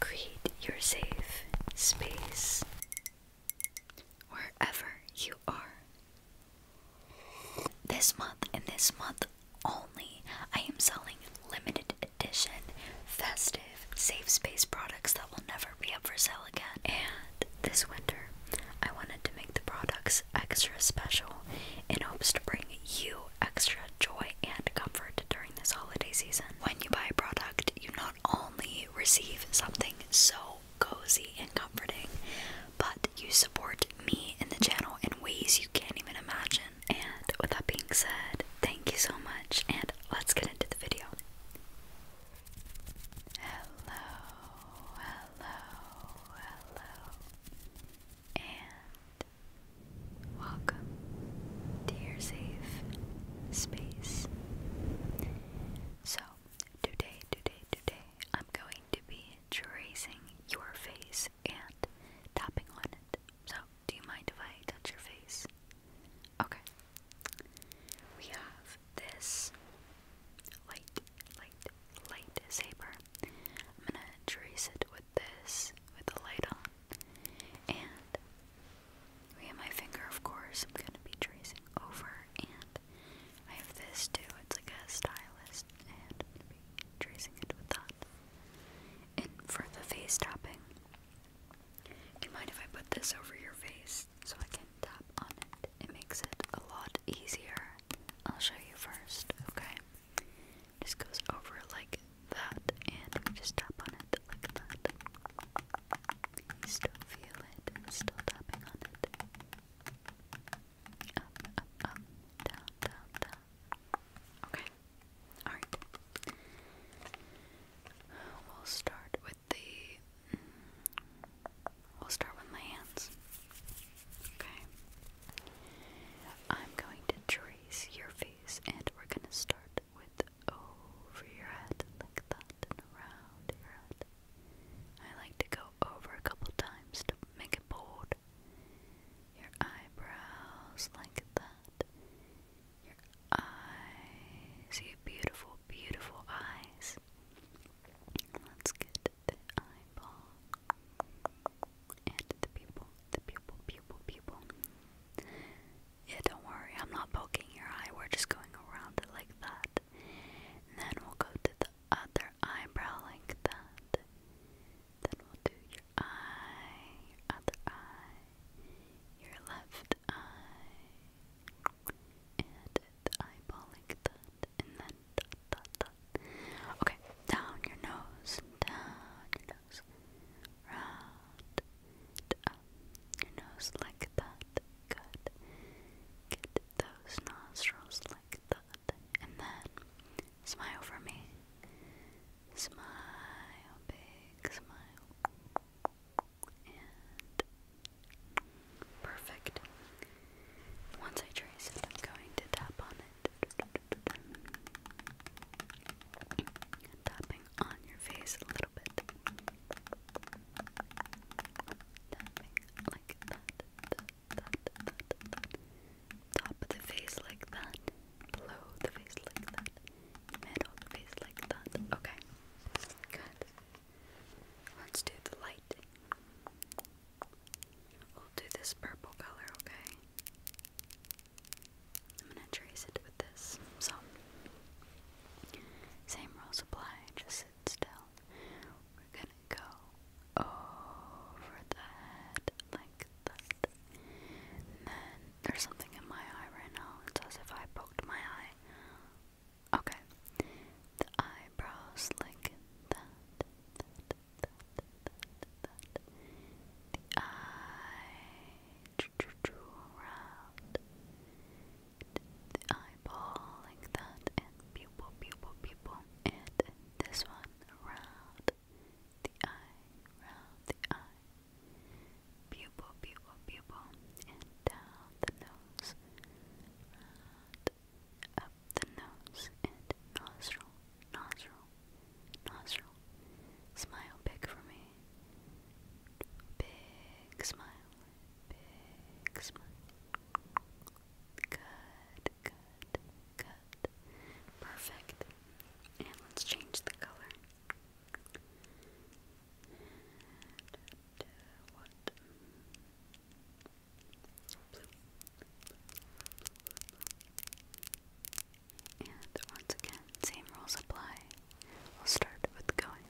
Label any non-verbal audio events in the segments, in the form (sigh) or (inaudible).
Create your safe space wherever you are. This month and this month only, I am selling limited edition festive safe space products that will never be up for sale again. And this winter, I wanted to make the products extra special in hopes to bring you extra joy and comfort during this holiday season. When you buy a product, you not only receive something so cozy and comforting, but you support me and the channel in ways you can't even imagine. And with that being said, thank you so much, and let's get into the video. Hello, hello, hello, and Welcome to safe space. So, today, today, today, I'm going to be tracing your face and tapping on it. So, do you mind if I touch your face? Okay. We have this light, light, light saber. I'm gonna trace it with this with the light on. And we have my finger, of course, I'm gonna be tracing over. And I have this too, it's like a stylist, and I'm gonna be tracing it with that. And for the face topping, you mind if I put this over your face so I can tap on it? It makes it a lot easier. I'll show you first, okay? Just goes over like that, and we just tap on it like that. You still feel it, still tapping on it. Up, up, up, down, down, down. Okay, alright. We'll start with the. Mm, we'll start with my hands. Okay. I'm going to raise your face and we're gonna start with over your head like that and around your head. I like to go over a couple times to make it bold. Your eyebrows like that. Your eyes. You beautiful, beautiful eyes. Let's get the eyeball and the pupil, the pupil, pupil, pupil. Yeah, don't worry, I'm not poking your eye, we're just going around it like that. then we'll go to the other eyebrow like that. Then we'll do your eye, other eye, your left eye, and the eyeball like that. And then Okay, down your nose, down your nose, round, your nose like that. Good. those nostrils like that, and then smile for me. Smile, big smile, perfect. Once I trace it, I'm going to tap on it. Tapping on your face a little bit. Tapping like that. that, that, that, Top of the face like that. Below the face like that. Middle of the face like that. Okay. Good. Let's do the light. We'll do this purple color, okay? I'm gonna trace it with this. So, same rules apply, just sit still. We're gonna go over the head like that. then there's something in my eye right now. It's as if I poked my eye. Okay. The eyebrows like that, the eye, around the eyeball like that, and pupil, pupil, pupil, and this one around the eye, around the eye, pupil, pupil, pupil, and down the nose, up the nose and nostril, nostril, nostril. Smile big for me. Big smile, big smile. Good, good, good. Perfect. And let's change the color. And, and once again, same rules apply. We'll start with going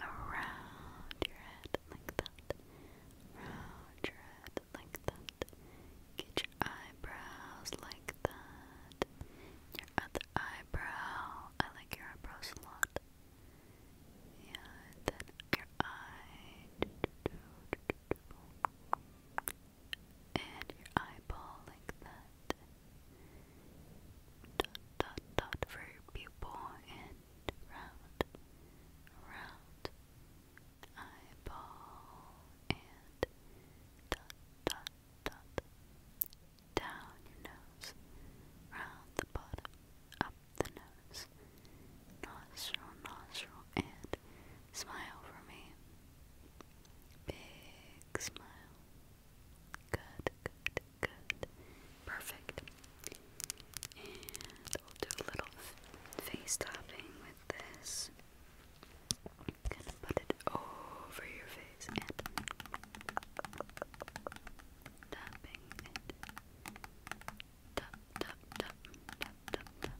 around your head like that. Round your head like that. Get your eyebrows like that. Your other eyebrow. I like your eyebrows a lot. Yeah, and then your eye. And your eyeball like that. Dot, dot, dot for your pupil and round, round. Eyeball and dot, dot, dot. Down your nose, round the bottom, up, the nose, nostril, nostril, and smile for me. Big smile. Good, good, good. Perfect. And we'll do little face topping with this. put it over your face and tapping it Tap, tap, tap, tap, tap, tap.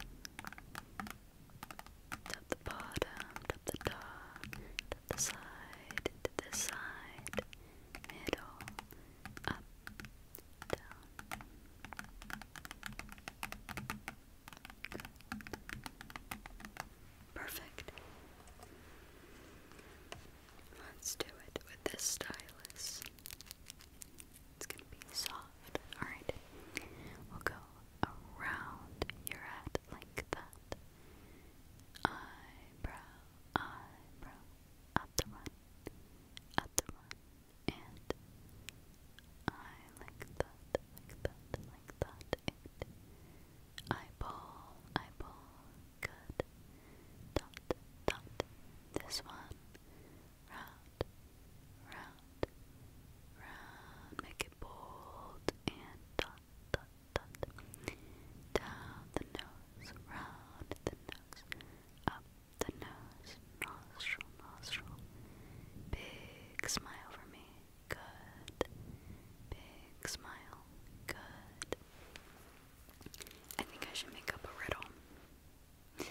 Tap the bottom, tap the top, tap the side, to the side, middle, up, down. Perfect. Let's do it with this stylus. It's gonna be soft. Alright. We'll go around your head like that. Eyebrow, eyebrow, up the one, up the one, and I like that, like that, like that, and eyeball, eyeball, Good. Dot, dot. This one. Round, round, round. Make it bold and dot, dot, dot. Down the nose, round the nose, up the nose, nostril, nostril. Big smile for me. Good. Big smile. Good. I think I should make up a riddle.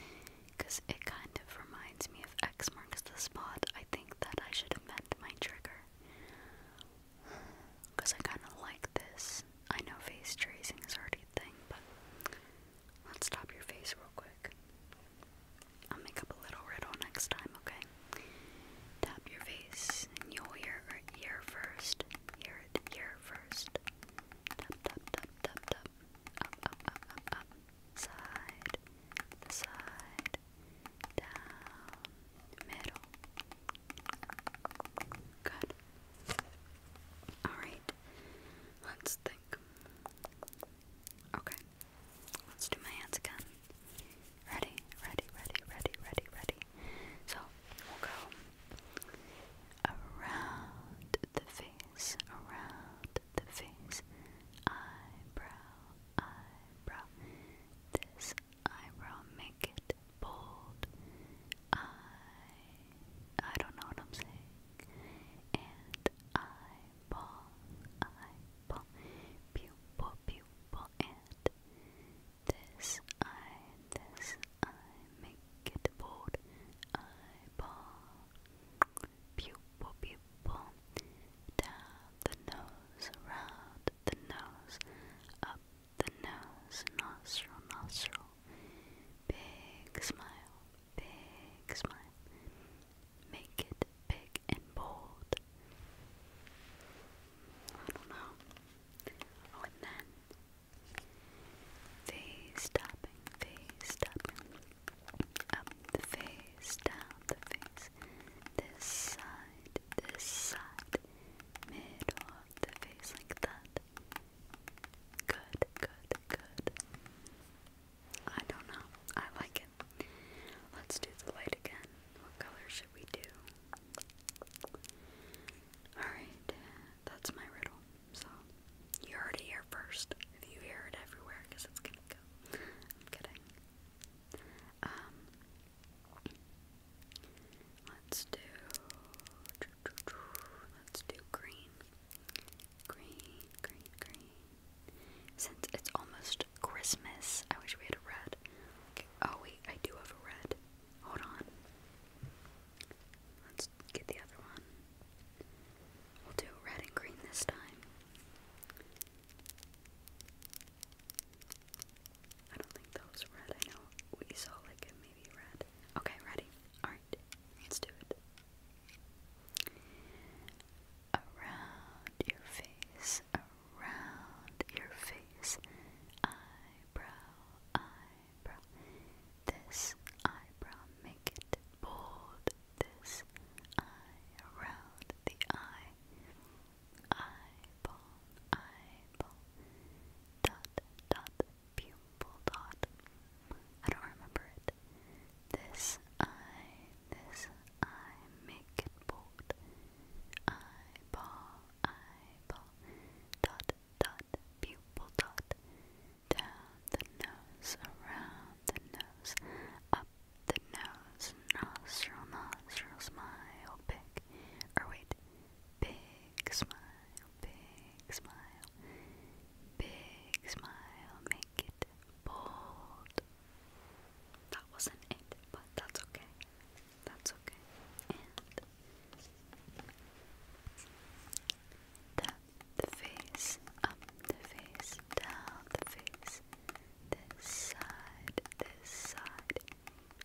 Because it kind of reminds me of X marks the spot. I think that I should amend my trigger. Because I kind of like this. I know face tracing is already a thing, but let's stop your face real quick. I'll make up a little riddle next time, okay? Tap your face and you'll hear ear first. Hear ear first. Tap, tap, tap, tap, tap. Up, up, up, up, up. Side, the side, down, middle. Good. Alright. Let's think. Okay. Let's do my hands again. Ready, ready, ready, ready, ready, ready. So we'll go around the face, around the face, eyebrow, eyebrow. This eyebrow, make it bold. I, I don't know what I'm saying. And eyeball, eyeball, pupil, pupil, pupil, and this eye, this eye, make it bold, eyeball, pupil, pupil, down the nose, around the nose, up the nose, nostril, nostril, big smile, big smile, make it big and bold. I don't know. Oh, and then face stopping, face stopping, up the face, down the face, this side, this side, middle of the face, like that. Good, good, good. I don't know. I like it. Let's do the light again. What color should we do? Alright, that's my riddle. So, you heard it first. If you hear it everywhere, because it's gonna go. I'm kidding. Um, let's do. Let's do green. Green, green, green. Since it's almost Christmas, I wish we had a red. Oh, wait, I do have a red. Hold on. Let's get the other one. We'll do red and green this time. I don't think that was red. I know we saw like maybe red. Okay, ready? Alright, let's do it around your face, around your face, eyebrow, eyebrow, this eyebrow, make it bold, this eye, around the eye, eyeball, eyeball, dot, dot, pupil, dot, I don't remember it, this eye, this eye, make it bold. Eyeball, eyeball, dot, dot, pupil, dot. Down the nose, around the nose, up the nose, nostril, nostril, smile, big. Or wait, big smile, big smile, big smile, make bold. That wasn't it, but that's okay. That's okay. And the face up, the face down, the face. This side, this side,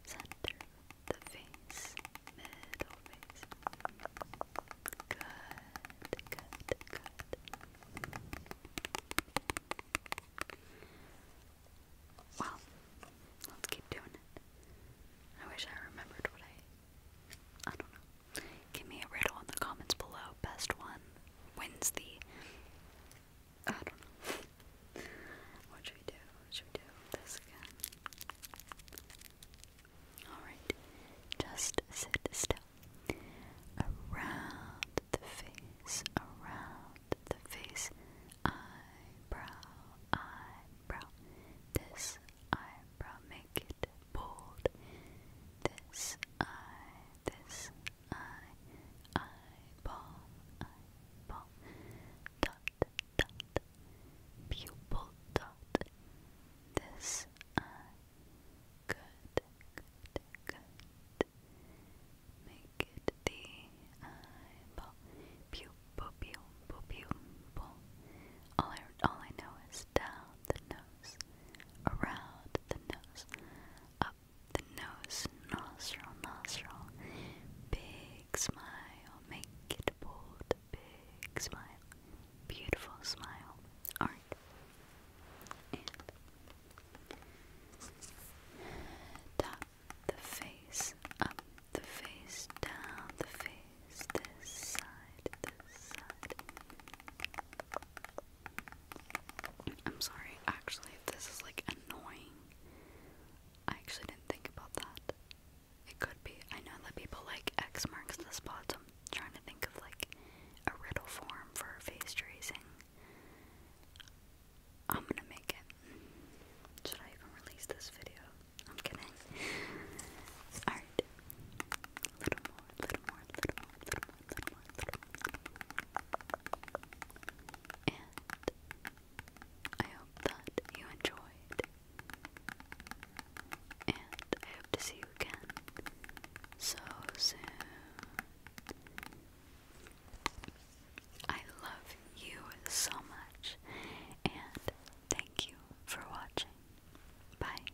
center the face, middle face. Good, good, good. Well, let's keep doing it. I wish I remembered what I. I don't know. Give me a riddle in the comments below. Best one wins the. I don't know. (laughs) What should we do? should we do? This again. Alright. Just sit still around the face, around the face, eyebrow, eyebrow, this eyebrow, make it bold, this eye, this eye, eyeball, eyeball, dot, dot, pupil dot, this eye, Good, good, good. Make it the eyeball. Pew, pew, pew, pew, All I, all I know is down the nose, around the nose, up the nose, nostril, nostril. Big smile, make it bold. Big smile, beautiful smile. Orange, and the face up, the face down, the face this side, this side. I'm sorry, actually, this is like annoying. I actually didn't think about that. It could be. I know that people like X marks the spot, trying to think of like a riddle form for face tracing. I'm gonna make it. Should I even release this video? I'm kidding. Alright. Little more, little more, little more, little more, little more, little more. And I hope that you enjoyed and I hope to see you again so soon. I love you so much, and thank you for watching. Bye.